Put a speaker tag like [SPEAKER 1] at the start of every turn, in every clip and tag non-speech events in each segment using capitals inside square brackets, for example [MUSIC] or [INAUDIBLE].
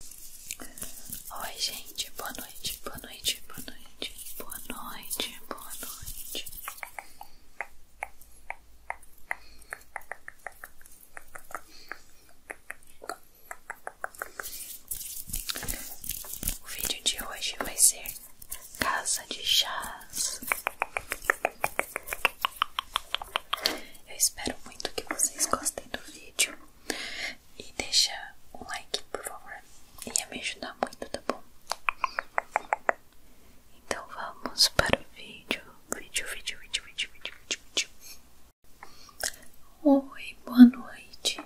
[SPEAKER 1] Oi, gente, boa noite, boa noite, boa noite, boa noite, boa noite. O vídeo de hoje vai ser Casa de Chás. Eu espero muito que vocês gostem do vídeo. E deixa um like, por favor. Ia me ajudar muito, tá bom? Então vamos para o vídeo. Vídeo, vídeo, vídeo, vídeo, vídeo, vídeo, vídeo. Oi, boa noite.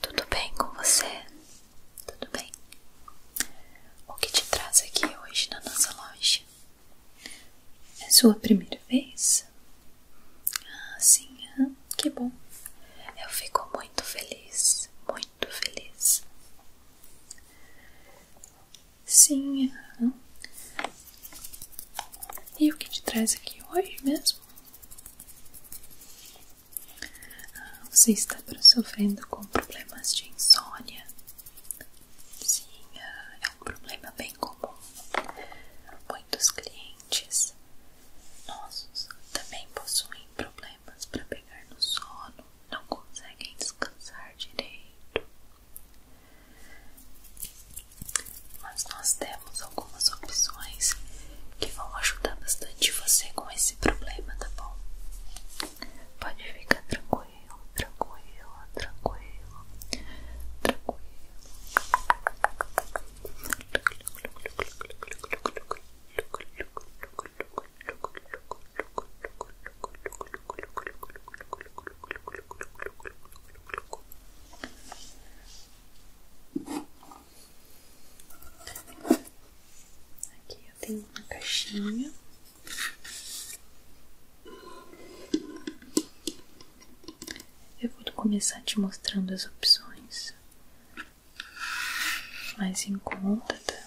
[SPEAKER 1] Tudo bem com você? Tudo bem? O que te traz aqui hoje na nossa loja? É sua primeira vez? Ah, sim, ah, que bom. Eu fico muito feliz, muito feliz. Sim, ah. E o que te traz aqui hoje mesmo? Ah, você está sofrendo com problemas de insônia. Sim, é, é um problema bem comum. Muitos clientes nossos também possuem problemas para pegar no sono, não conseguem descansar direito. Mas nós temos algumas opções que vão ajudar bastante você com esse problema, tá bom? Pode ficar tranquilo tranquilo, tranquilo, tranquilo, tranquilo. Aqui eu tenho uma caixinha eu vou começar te mostrando as opções mais em conta, tá?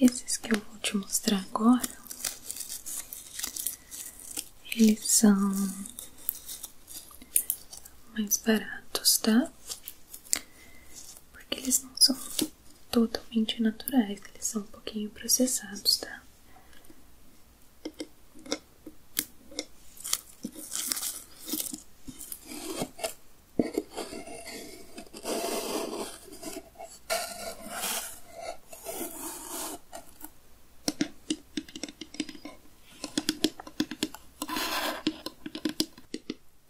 [SPEAKER 1] Esses que eu vou te mostrar agora, eles são mais baratos, tá? Porque eles não são totalmente naturais, eles são um pouquinho processados, tá?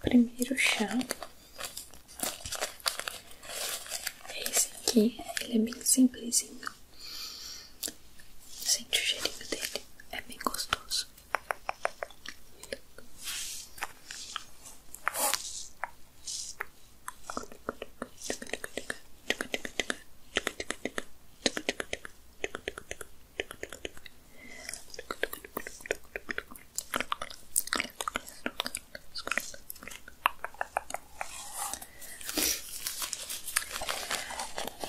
[SPEAKER 1] Primeiro chá esse aqui, ele é bem simplesinho. Sente o cheirinho dele, é bem gostoso.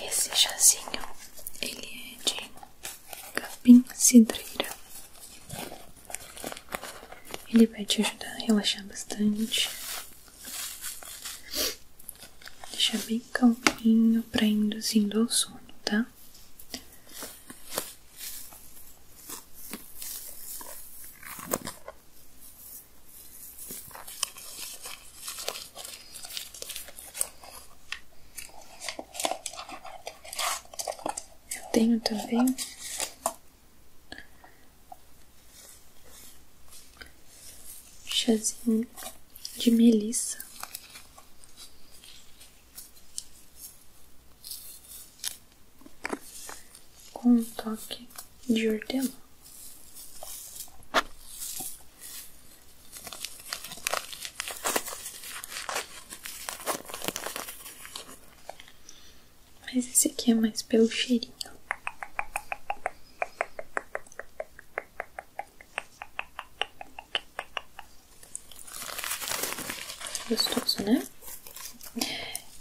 [SPEAKER 1] Esse chazinho ele é de capim cidreira. Ele vai te ajudar a relaxar bastante. Deixa bem calminho para induzindo ao sono, tá? Eu tenho também chazinho de melissa. Com toque de hortelã. Mas esse aqui é mais pelo cheirinho. Gostoso, né?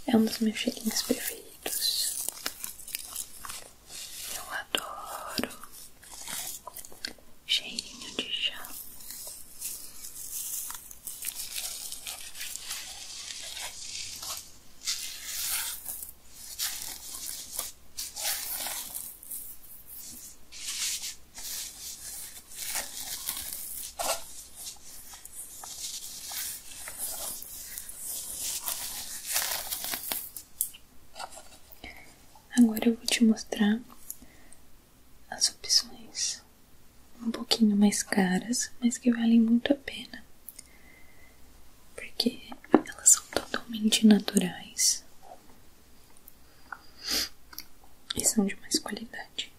[SPEAKER 1] É um dos meus cheirinhos preferidos. Eu adoro cheirinho de chá. Agora eu vou te mostrar as opções um pouquinho mais caras, mas que valem muito a pena, porque elas são totalmente naturais e são de mais qualidade.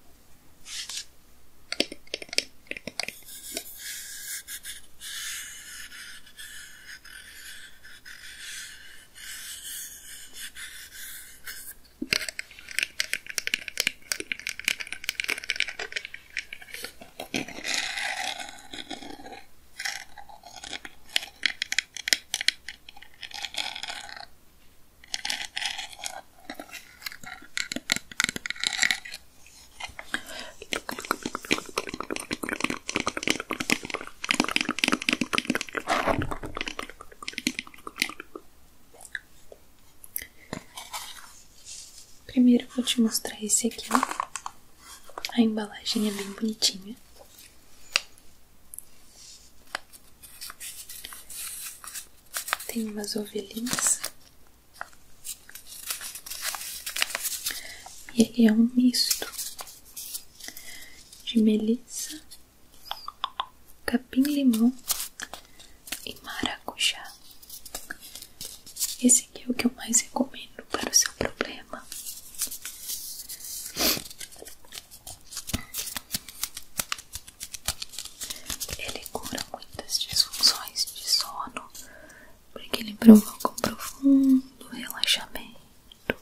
[SPEAKER 1] Primeiro vou te mostrar esse aqui. A embalagem é bem bonitinha. Tem umas ovelhinhas. E ele é um misto de melissa, capim-limão e maracujá. Esse aqui é o que eu mais recomendo para o seu problema. Ele cura muitas disfunções de sono porque ele provoca um profundo relaxamento,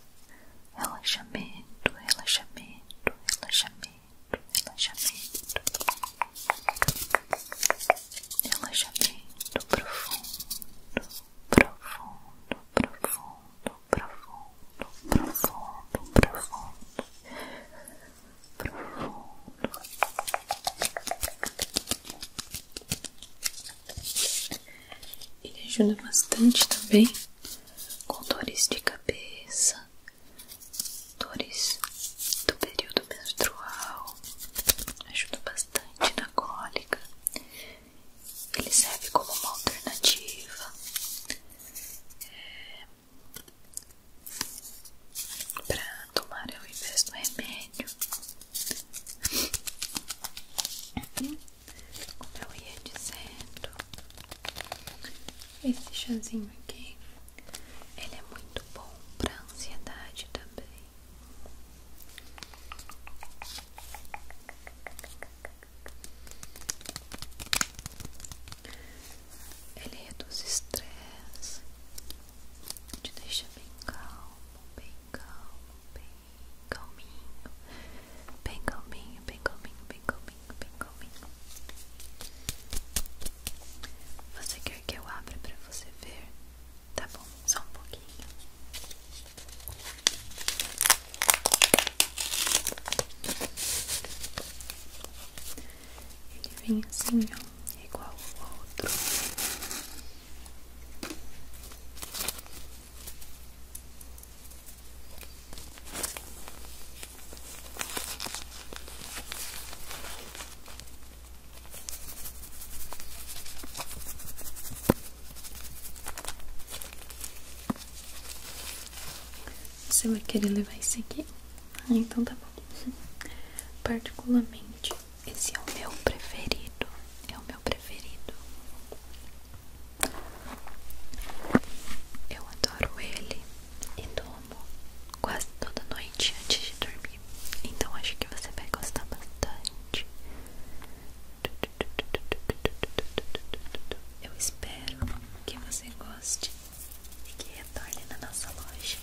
[SPEAKER 1] relaxamento, relaxamento, relaxamento, relaxamento, relaxamento profundo profundo, profundo, profundo, profundo, profundo, profundo. Ele ajuda bastante também com dores de cabeça, dores do período menstrual, ajuda bastante na cólica, ele serve como uma alternativa é, para tomar o invés do remédio. Como eu ia dizendo, esse chazinho aqui ele é muito bom para ansiedade também. Ele reduz estresse, te deixa bem calmo, bem calmo, bem calminho, bem calminho, bem calminho, bem calminho, bem calminho. Você quer que eu abra para você ver? Tá bom, só um pouquinho. Ele vem assim, ó, igual o outro. Você vai querer levar esse aqui? Ah, então tá bom. [LAUGHS] Particularmente, esse é o meu preferido. É o meu preferido. Eu adoro ele e tomo quase toda noite antes de dormir. Então acho que você vai gostar bastante. Eu espero que você goste e que retorne na nossa loja.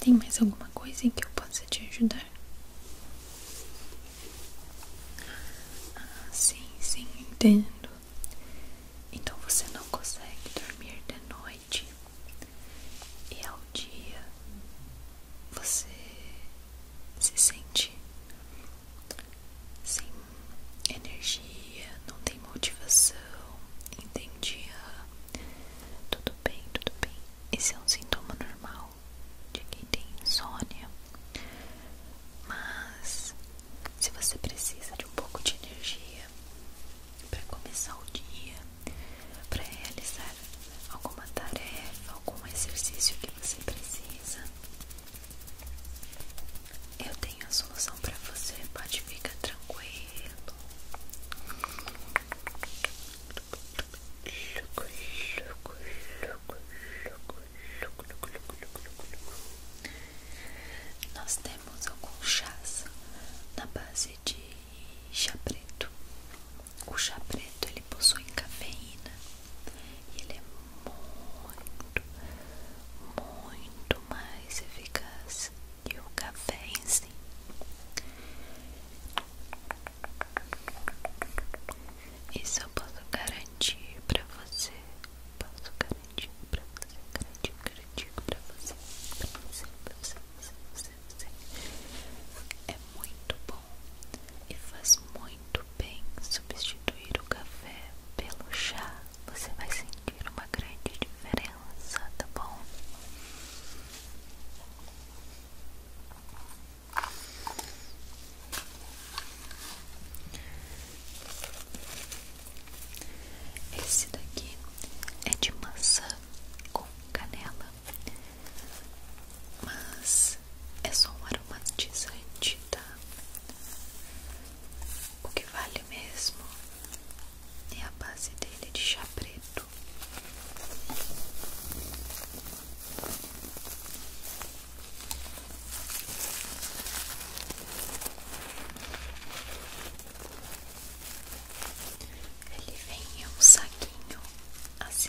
[SPEAKER 1] Tem mais alguma coisa em que eu possa te ajudar? Ah, sim, sim, entendo. Então você não consegue dormir de noite e ao dia você se sente sem energia, não tem motivação, entendi. Ah, tudo bem, tudo bem. Esse é um sintoma normal de quem tem insônia. Mas se você precisa de um pouco de energia para começar o dia, para realizar alguma tarefa, algum exercício que você precisa, eu tenho a solução para você. Pode ficar tranquilo. Luco, luco, luco, luco, nós temos alguns chás na base de chá preto. O chá preto ele possui cafeína e ele é muito, muito mais eficaz que o café em si. Isso eu posso garantir para você. Posso garantir critico pra você, critico, critico pra você, pra você, você, você, você, você. É muito bom e faz muito bem substituir o café pelo chá. Você vai sentir uma grande diferença, tá bom? Esse daqui é de maçã com canela, mas é só um aromatizante, tá? O que vale mesmo é a base dele de chá preto. Ele vem em um saquinho assim,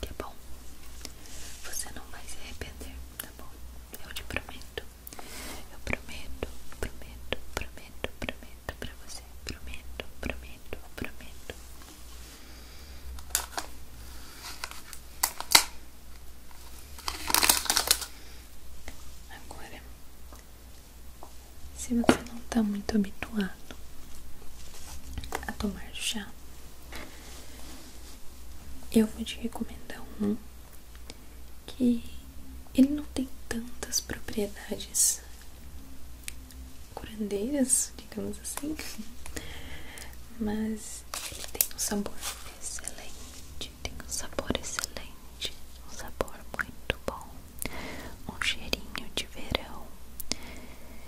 [SPEAKER 1] que tá é bom. Você não vai se arrepender, tá bom? Eu te prometo. Eu prometo, prometo, prometo, prometo pra você. Prometo, prometo, prometo. Agora, se você não tá muito habituado a tomar chá, eu vou te recomendar um que ele não tem tantas propriedades curandeiras, digamos assim, [LAUGHS] mas ele tem um sabor excelente, tem um sabor excelente, um sabor muito bom, um cheirinho de verão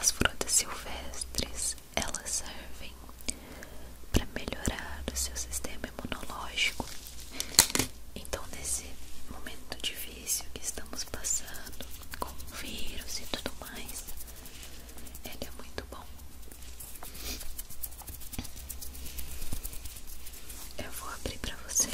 [SPEAKER 1] As frutas silvestres elas servem para melhorar o seu sistema imunológico. Então, nesse momento difícil que estamos passando, com o vírus e tudo mais, ele é muito bom. Eu vou abrir para você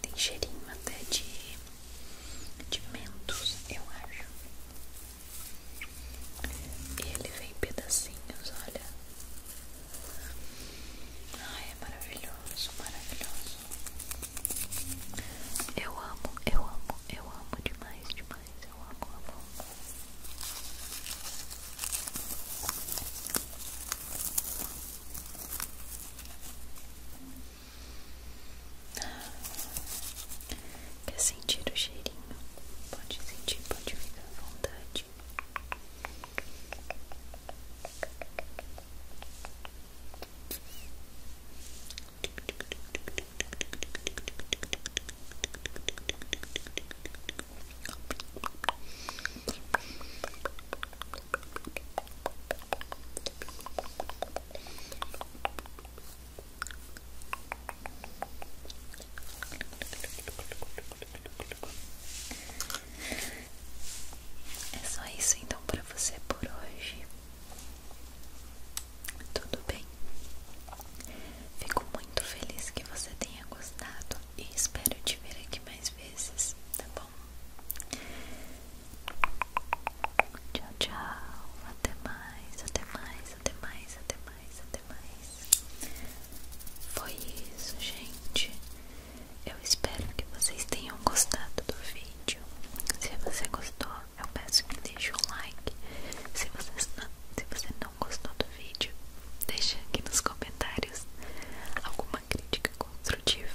[SPEAKER 1] tem cheirinho até de, de mentos, eu acho. ele vem pedacinhos, olha. Ai, é maravilhoso, maravilhoso. Eu amo, eu amo, eu amo demais, demais. Eu amo, amo, amo. Quer sentir o cheirinho? Pode sentir, pode ficar à vontade. É só isso então para você por hoje. Tudo bem? Fico muito feliz que você tenha gostado e espero te ver aqui mais mais vezes, tá bom? Tchau, tchau. Até mais, até mais, até mais, até mais, até mais. Foi isso, gente. Eu espero que vocês tenham gostado do vídeo. Se você gostou, eu peço que deixe um like. Se você não, se você não gostou do vídeo, deixe aqui nos comentários alguma crítica construtiva.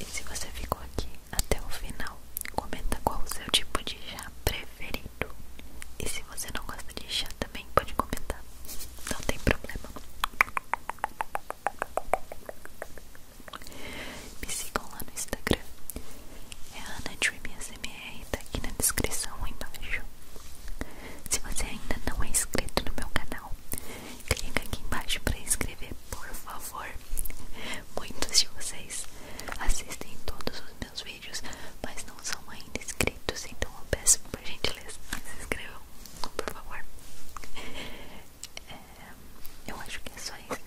[SPEAKER 1] E se você ficou aqui até o final, comenta qual o seu tipo de chá preferido. E se você não gosta de chá também, pode comentar. Não tem problema. Me sigam lá no Instagram. É AnaDreamSMR, tá aqui na descrição embaixo. Se você ainda não é inscrito no meu canal, clica aqui embaixo para inscrever, por favor. Muitos de vocês assistem todos os meus vídeos, mas não são ainda inscritos, então eu peço por gentileza, se inscrevam, por favor. É, eu acho que é só isso.